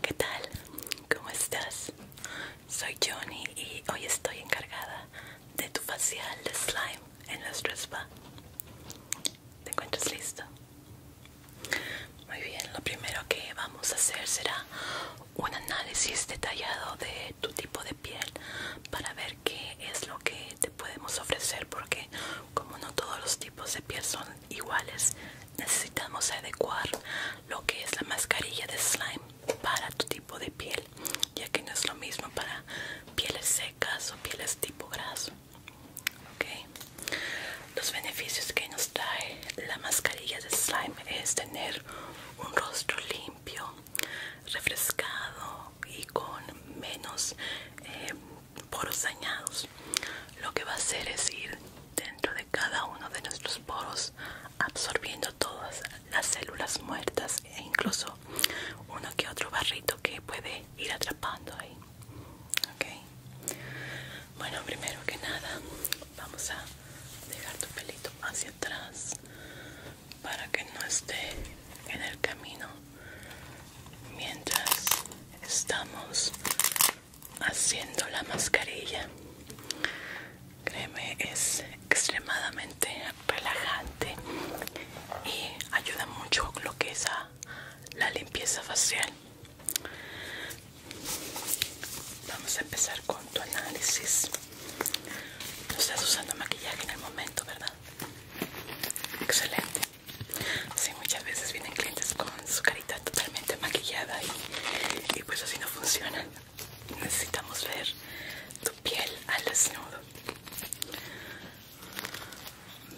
¿Qué tal? ¿Cómo estás? Soy Johnny y hoy estoy encargada de tu facial de slime en nuestro spa. ¿Te encuentras listo? Muy bien, lo primero que vamos a hacer será un análisis detallado de tu tipo de piel para ver qué es lo que te podemos ofrecer porque como no todos los tipos de piel son iguales, necesitamos adecuar lo que es la mascarilla de slime para tu tipo de piel, ya que no es lo mismo para pieles secas o pieles tipo graso. Los beneficios que nos trae la mascarilla de slime es tener un rostro limpio, refrescado, y con menos eh, poros dañados lo que va a hacer es ir dentro de cada uno de nuestros poros absorbiendo todas las células muertas e incluso uno que otro barrito que puede ir atrapando ahí bueno primero que nada vamos a dejar tu pelito hacia atrás para que no esté en el camino mientras estamos haciendo la mascarilla créeme es extremadamente relajante y ayuda mucho lo que es la limpieza facial vamos a empezar con tu análisis no estás usando maquillaje en el momento verdad excelente Sí, muchas veces vienen clientes con su carita totalmente maquillada y, pues así no funciona. Necesitamos ver tu piel al desnudo.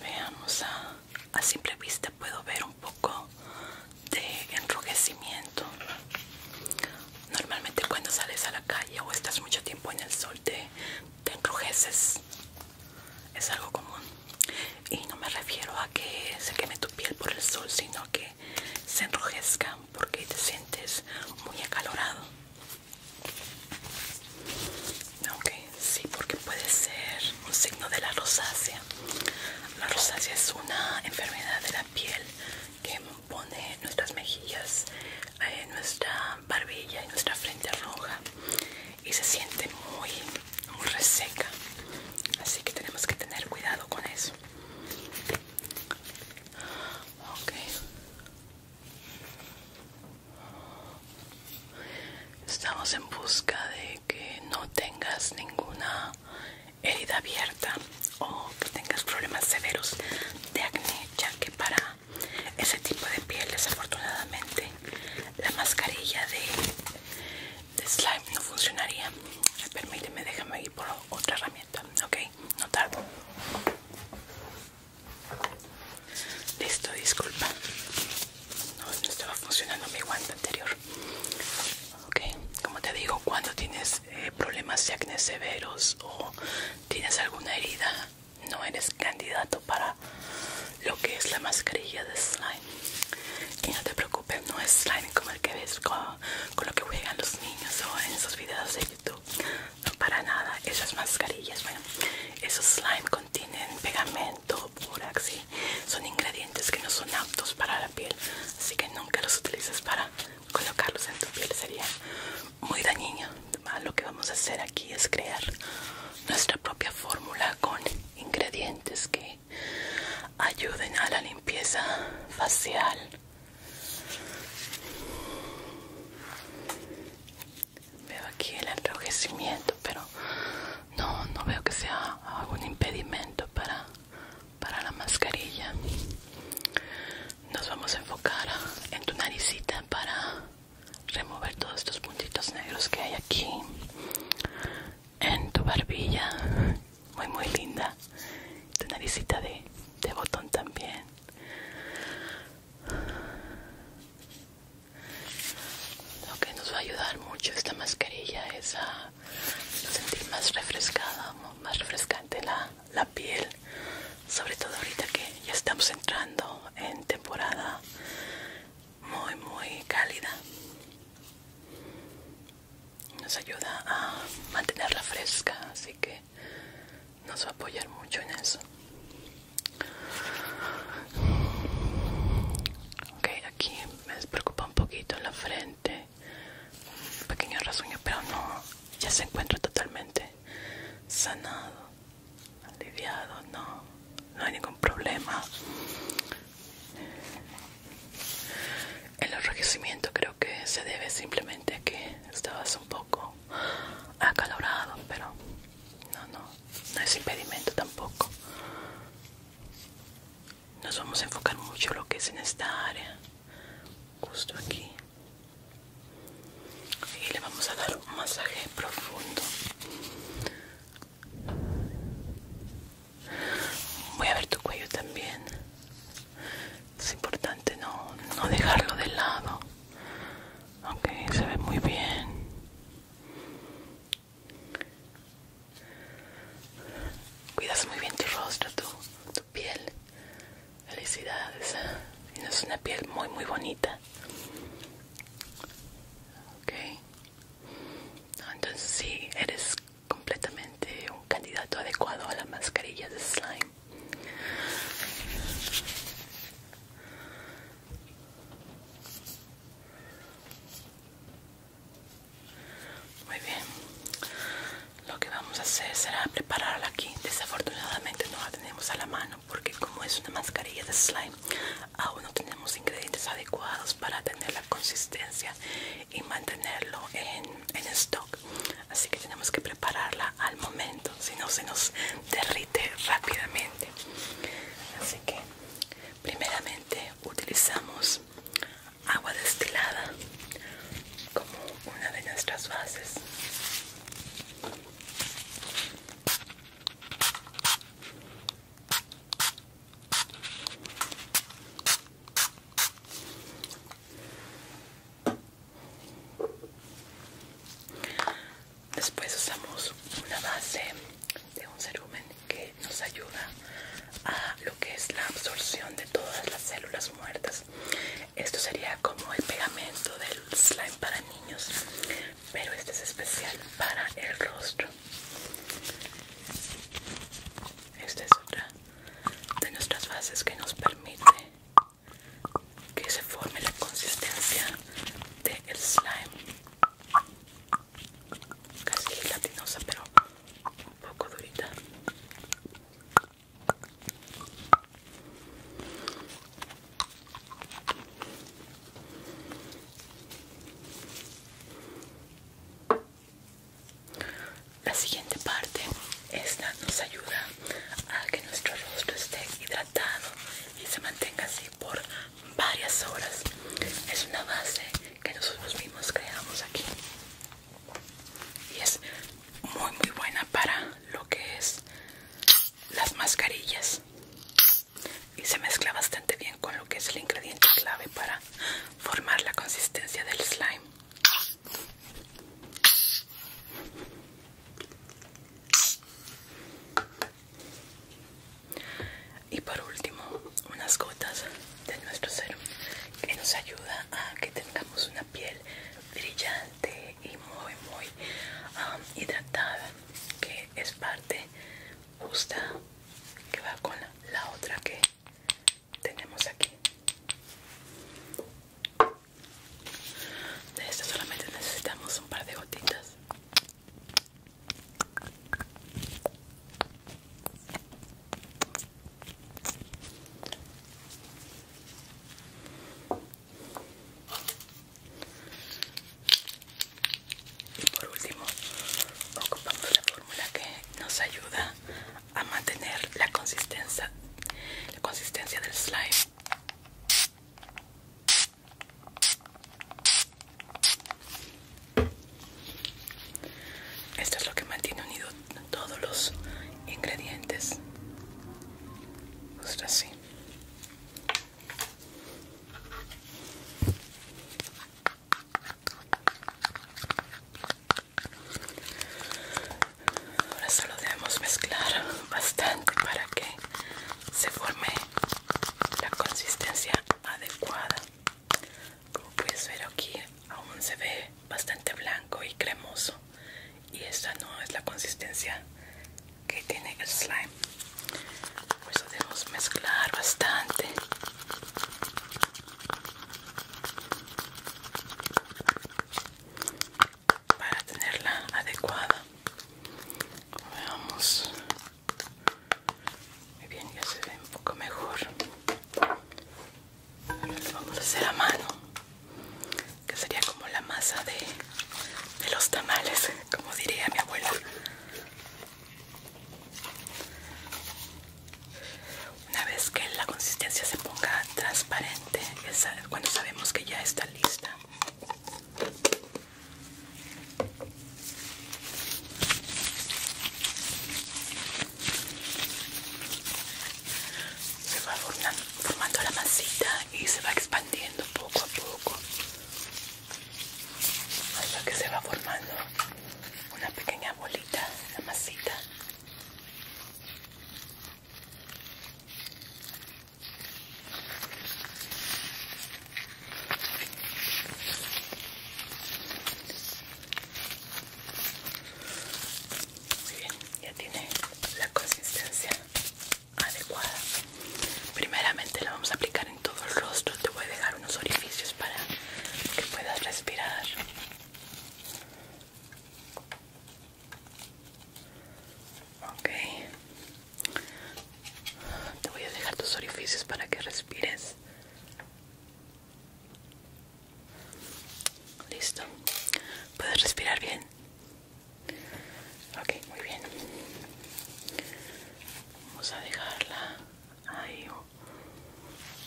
Veamos, a, simple vista puedo ver un poco de enrojecimiento. Normalmente cuando sales a la calle o estás mucho tiempo en el sol te, te enrojeces es algo común y no me refiero a que se queme tu piel por el sol sino que se enrojezca porque te sientes muy acalorado ok sí porque puede ser un signo de la rosácea la rosácea es una enfermedad de la piel que pone nuestras mejillas eh, nuestra barbilla y nuestra frente roja y se siente muy, reseca así que tenemos que tener cuidado con eso ok estamos en busca de que no tengas ninguna herida abierta o que tengas problemas severos de acné ya que para ese tipo de piel desafortunadamente la mascarilla de, slime no funcionaría permíteme déjame ir por otra herramienta ok no tardo listo disculpa no, estaba funcionando mi guante anterior ok como te digo cuando tienes eh, problemas de acné severos o tienes alguna herida no eres candidato para lo que es la mascarilla de slime y no te preocupes no es slime como el que ves con, lo que juegan los niños o en esos videos de youtube no para nada esas mascarillas bueno esos slime contienen pegamento borax son ingredientes que no son aptos para la piel así que nunca los utilices para colocarlos en tu piel sería muy dañino Ah, lo que vamos a hacer aquí es crear nuestra propia fórmula con ingredientes que ayuden a la limpieza facial veo aquí el enrojecimiento pero no veo que sea algún impedimento para para la mascarilla nos vamos a enfocar en tu naricita para remover todos estos puntitos negros que hay aquí en tu barbilla muy muy linda tu naricita de, botón también lo que nos va a ayudar mucho esta mascarilla es a sentir más refrescada más refrescante la, la piel sobre todo ahorita que ya estamos entrando en temporada muy muy cálida nos ayuda a mantenerla fresca así que nos va a apoyar mucho en eso ok aquí me despreocupa un poquito la frente pequeño rasguño pero no ya se encuentra totalmente sanado aliviado, no, no hay ningún problema. El enrojecimiento creo que se debe simplemente a que estabas un poco acalorado, pero no, no, no es impedimento tampoco. Nos vamos a enfocar mucho lo que es en esta área, justo aquí y le vamos a dar un masaje profundo voy a ver tu cuello también es importante no, no dejarlo de lado aunque se ve muy bien cuidas muy bien tu rostro tu, tu piel felicidades tienes una piel muy muy bonita Ok. entonces sí, eres completamente un candidato adecuado a la mascarilla de slime. Muy bien. Lo que vamos a hacer será prepararla aquí. Desafortunadamente no la tenemos a la mano, porque como es una mascarilla de slime aún no tenemos ingredientes adecuados para tener la consistencia y mantenerlo en, en stock así que tenemos que prepararla al momento si no se nos derrite rápidamente así que primeramente utilizamos agua destilada como una de nuestras bases Después usamos una base de un cerumen que nos ayuda a lo que es la absorción de todas las células muertas. Esto sería como el pegamento del slime para niños pero este es especial para el rostro esta es otra de nuestras bases que nos permite que se forme la consistencia del slime casi latinosa pero un poco durita la siguiente parte, esta nos ayuda a que nuestro rostro esté hidratado y se mantenga así por varias horas. Es una base que nosotros mismos creamos aquí y es muy muy buena para lo que es las mascarillas y se mezcla bastante bien con lo que es el ingrediente clave para formar la consistencia del slime y por último unas gotas de nuestro serum que nos ayuda a que tengamos una piel brillante y muy muy um, hidratada que es parte justa que va con la, otra que tenemos aquí de esto solamente necesitamos un par de gotitas y por último, ocupamos la fórmula que nos ayuda a mantener la consistencia, la consistencia del slime. Esto es lo que mantiene unido todos los ingredientes. Justo así. Ahora solo debemos mezclar bastante para que se forme la consistencia adecuada. Como puedes ver aquí, aún se ve bastante blanco y cremoso y esta no es la consistencia que tiene el slime por eso debemos mezclar bastante para tenerla adecuada veamos muy bien ya se ve un poco mejor vamos a hacer a mano que sería como la masa de, de los tamales, como diría mi abuela. Una vez que la consistencia se ponga transparente, cuando sabemos que ya está lista. Se va formando la masita y se va expandiendo poco a poco lo que se va formando una pequeña bolita, una masita. Muy bien, ya tiene la consistencia adecuada primeramente la vamos a aplicar en todo el rostro te voy a dejar unos orificios para que puedas respirar ok te voy a dejar tus orificios para que respires listo puedes respirar bien Ok, muy bien. Vamos a dejarla ahí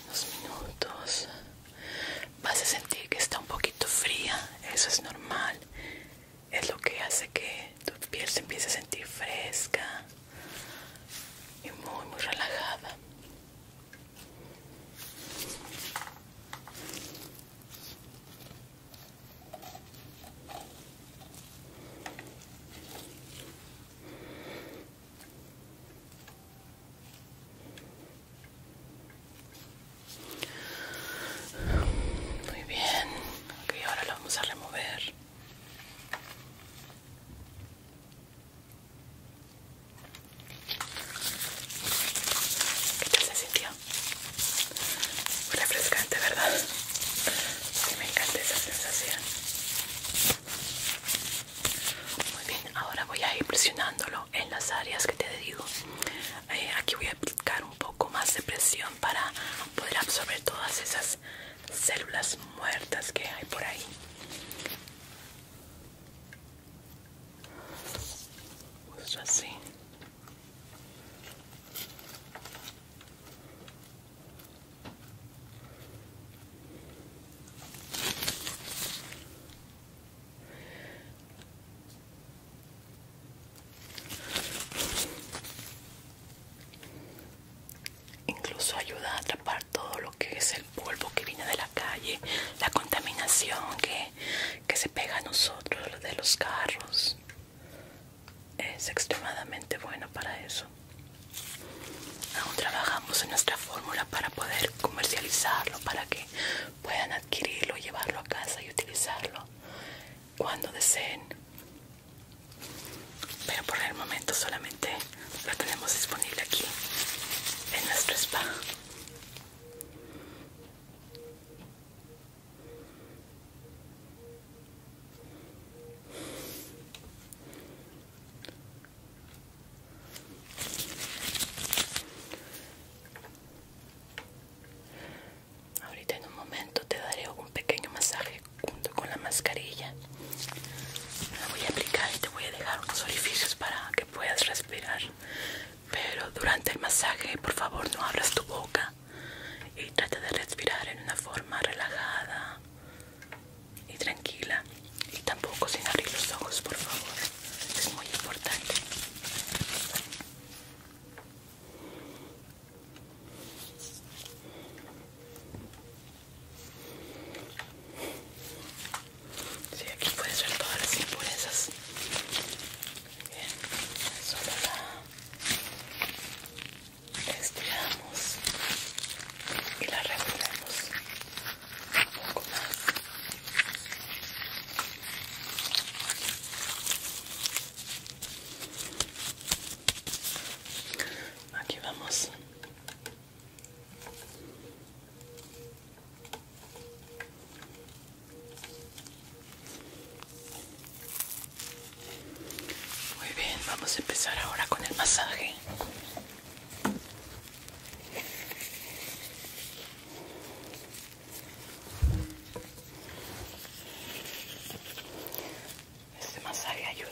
unos minutos. Vas a sentir que está un poquito fría, eso es normal. Es lo que hace que tu piel se empiece a sentir fresca y muy, muy relajada. Muy bien, ok, ahora lo vamos a remover. ¿Qué tal se sintió? refrescante, ¿verdad? me encanta esa sensación. Muy bien, ahora voy a ir presionándolo en las áreas que te digo. Eh, aquí voy a aplicar un poco más de presión para poder absorber todas esas células muertas que hay por ahí. Justo así. Incluso ayuda a atrapar todo lo que es el polvo que viene de la calle, la contaminación que, se pega a nosotros de los carros es, extremadamente bueno para eso. Aún trabajamos en nuestra fórmula para poder comercializarlo, para que puedan adquirirlo, llevarlo a casa y utilizarlo cuando deseen. Pero por el momento solamente lo tenemos disponible aquí en nuestro spa. Ahorita en un momento te daré un pequeño masaje junto con la mascarilla. La voy a aplicar y te voy a dejar unos orificios para que puedas respirar pero durante el masaje por favor no abras tu boca y trata de respirar en una forma relajada y tranquila y tampoco sin abrir los ojos por favor es muy importante Sí, aquí puedes ver todas las impurezas Bien, solo la estiramos y la regulamos un poco más. Aquí vamos. Muy bien, vamos a empezar ahora con el masaje. Este masaje ayuda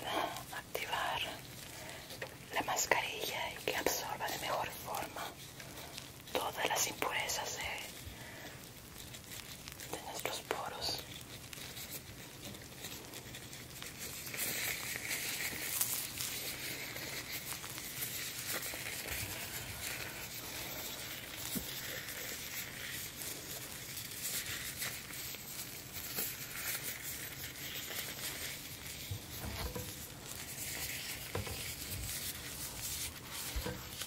a activar la mascarilla y que absorba de mejor forma todas las impurezas de de nuestros poros.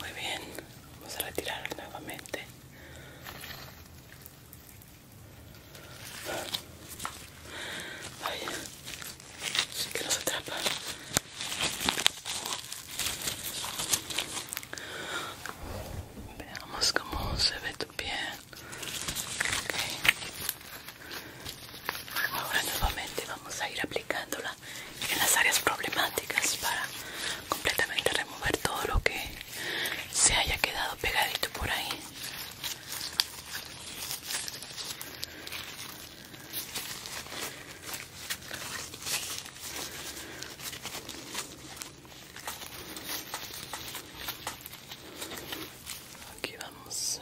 Muy bien, vamos a retirar nuevamente. Vaya, sí que nos atrapa. Veamos cómo se ve tu pie Ahora nuevamente vamos a ir aplicándola en las áreas problemáticas para completamente remover todo lo que se haya quedado pegadito por ahí. Aquí vamos.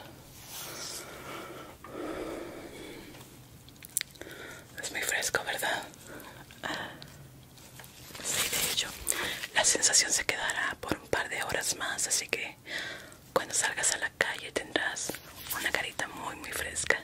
Es muy fresco, ¿verdad? Ah, sí, de hecho, la sensación se quedará por un par de horas más, así que cuando salgas a la calle tendrás una carita muy, muy fresca.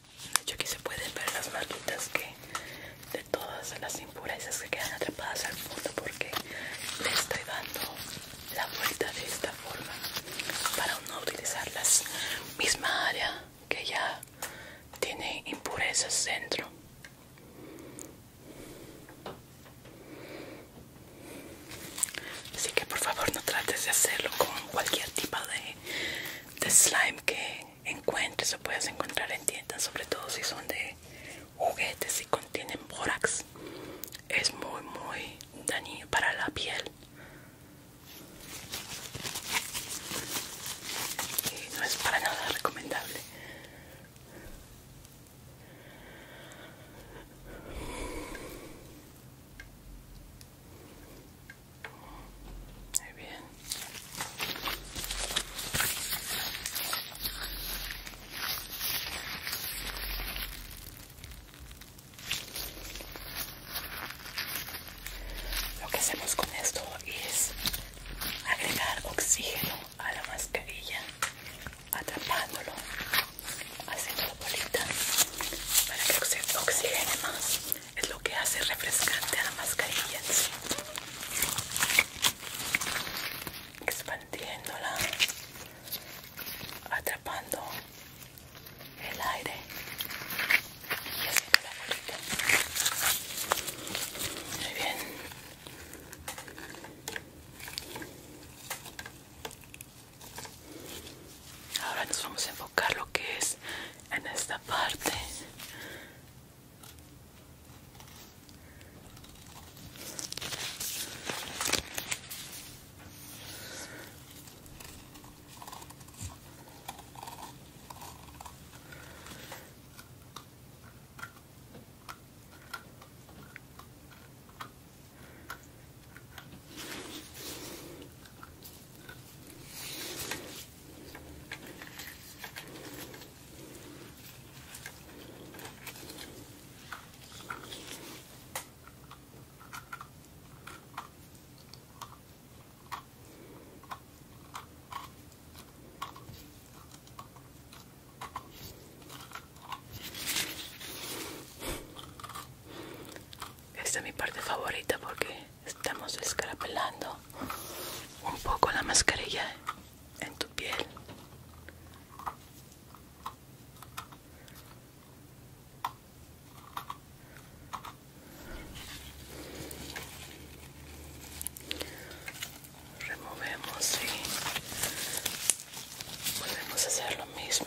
De hecho aquí se pueden ver las marquitas que de todas las impurezas que quedan atrapadas al fondo porque le estoy dando la vuelta de esta forma para no utilizar la misma área que ya tiene impurezas dentro. Así que por favor no trates de hacerlo con cualquier tipo de slime que, encuentres o puedes encontrar en tiendas, sobre todo si son de juguetes y contienen borax es muy muy dañino para la piel. Y no es para nada recomendable. Muy bien. Lo que hacemos con esto es agregar oxígeno a la mascarilla, atrapándolo, haciendo la bolita para que oxigene más es lo que hace refrescante a la mascarilla Expandiéndola, atrapando el aire y haciendo la Muy bien ahora nos vamos a enfocar lo que es en esta parte esta es mi parte favorita porque estamos escarapelando un poco la mascarilla en tu piel removemos y podemos hacer lo mismo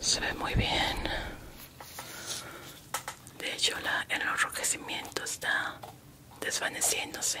Se ve muy bien. De hecho, la, el enrojecimiento está desvaneciéndose.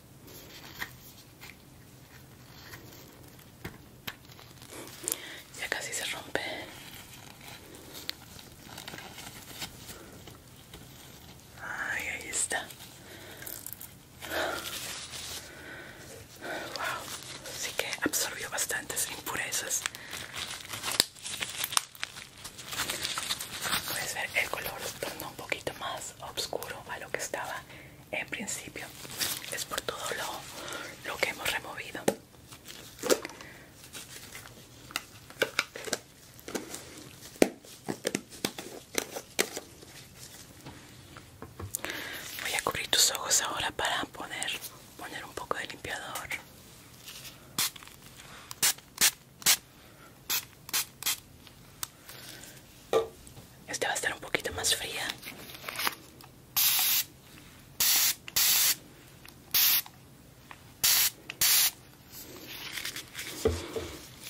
Ya casi se rompe. ahí está. Wow, sí que absorbió bastantes impurezas. Puedes ver el color tornó un poquito más oscuro a lo que estaba en principio. Es por todo lo, lo que hemos removido. Voy a cubrir tus ojos ahora para poder poner un poco de limpiador. Este va a estar un poquito más fría.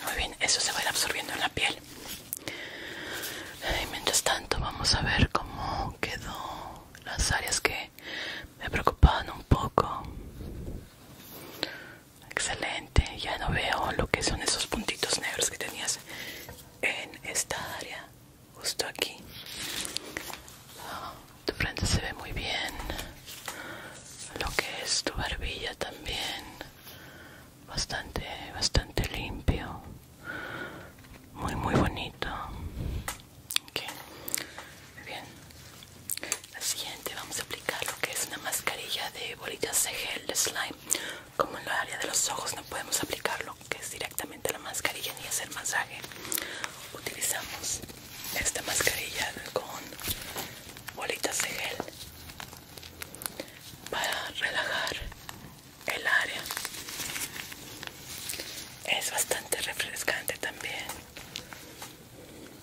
Muy bien, eso se va a ir absorbiendo en la piel. Y mientras tanto vamos a ver cómo quedó las áreas que me preocupaban un poco. Excelente, ya no veo lo que son esos puntitos negros que tenías en esta área, justo aquí. tu frente se ve muy bien. Lo que es tu barbilla también. Bastante, bastante limpio. Muy, muy bonito. Muy bien. La siguiente vamos a aplicar lo que es una mascarilla de bolitas de gel de slime. Como en la área de los ojos no podemos aplicarlo lo que es directamente la mascarilla ni hacer masaje. Utilizamos esta mascarilla con bolitas de gel para relajar el área. Es bastante refrescante también.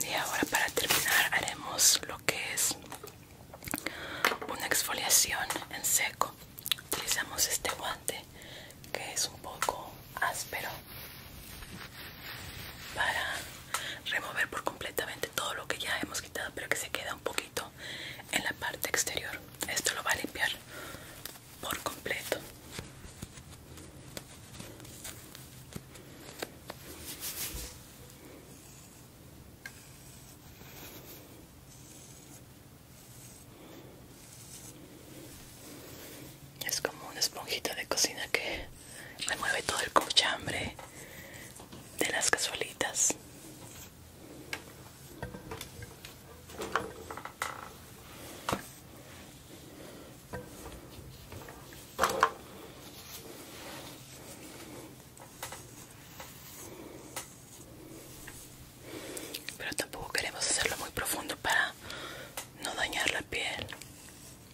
Y ahora para terminar haremos lo que es una exfoliación en seco. Utilizamos este guante que es un poco áspero para remover por completamente todo lo que ya hemos quitado pero que se queda un poquito en la parte exterior esto lo va a limpiar por completo es como una esponjita de cocina que remueve todo el cochambre de las casualitas pero tampoco queremos hacerlo muy profundo para no dañar la piel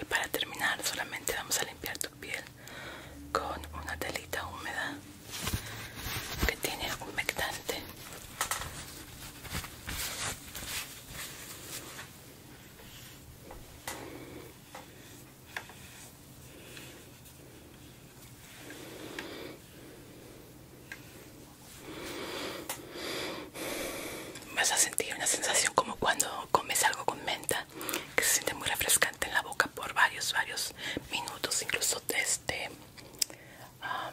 Y para terminar solamente vamos a limpiar tu piel con una telita húmeda que tiene humectante. Vas a sentir una sensación como cuando comes algo con menta, que se siente muy refrescante en la boca por varios, varios minutos, incluso desde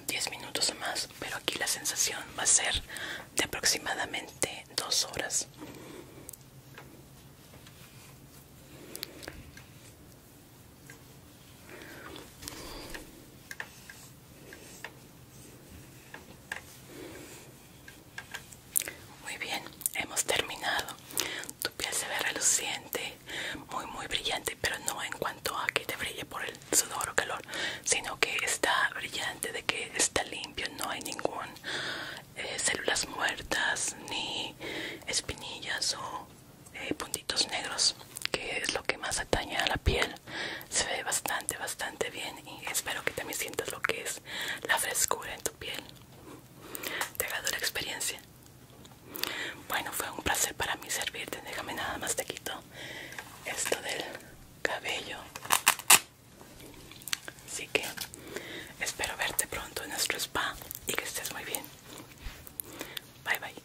10 ah, minutos o más. Pero aquí la sensación va a ser de aproximadamente 2 horas. Muy bien, hemos terminado. Tu piel se ve reluciente, muy muy brillante, pero no en cuanto a que te brille por el sudor o calor, sino que está brillante, de que está limpio, no hay ningún eh, células muertas ni espinillas o eh, puntitos negros que es lo que más atañe a la piel se ve bastante bastante bien y espero que también sientas lo que es la frescura en tu piel te ha dado la experiencia bueno fue un placer para mí servirte déjame nada más te quito esto del cabello así que espero verte pronto en nuestro spa y que estés muy bien bye bye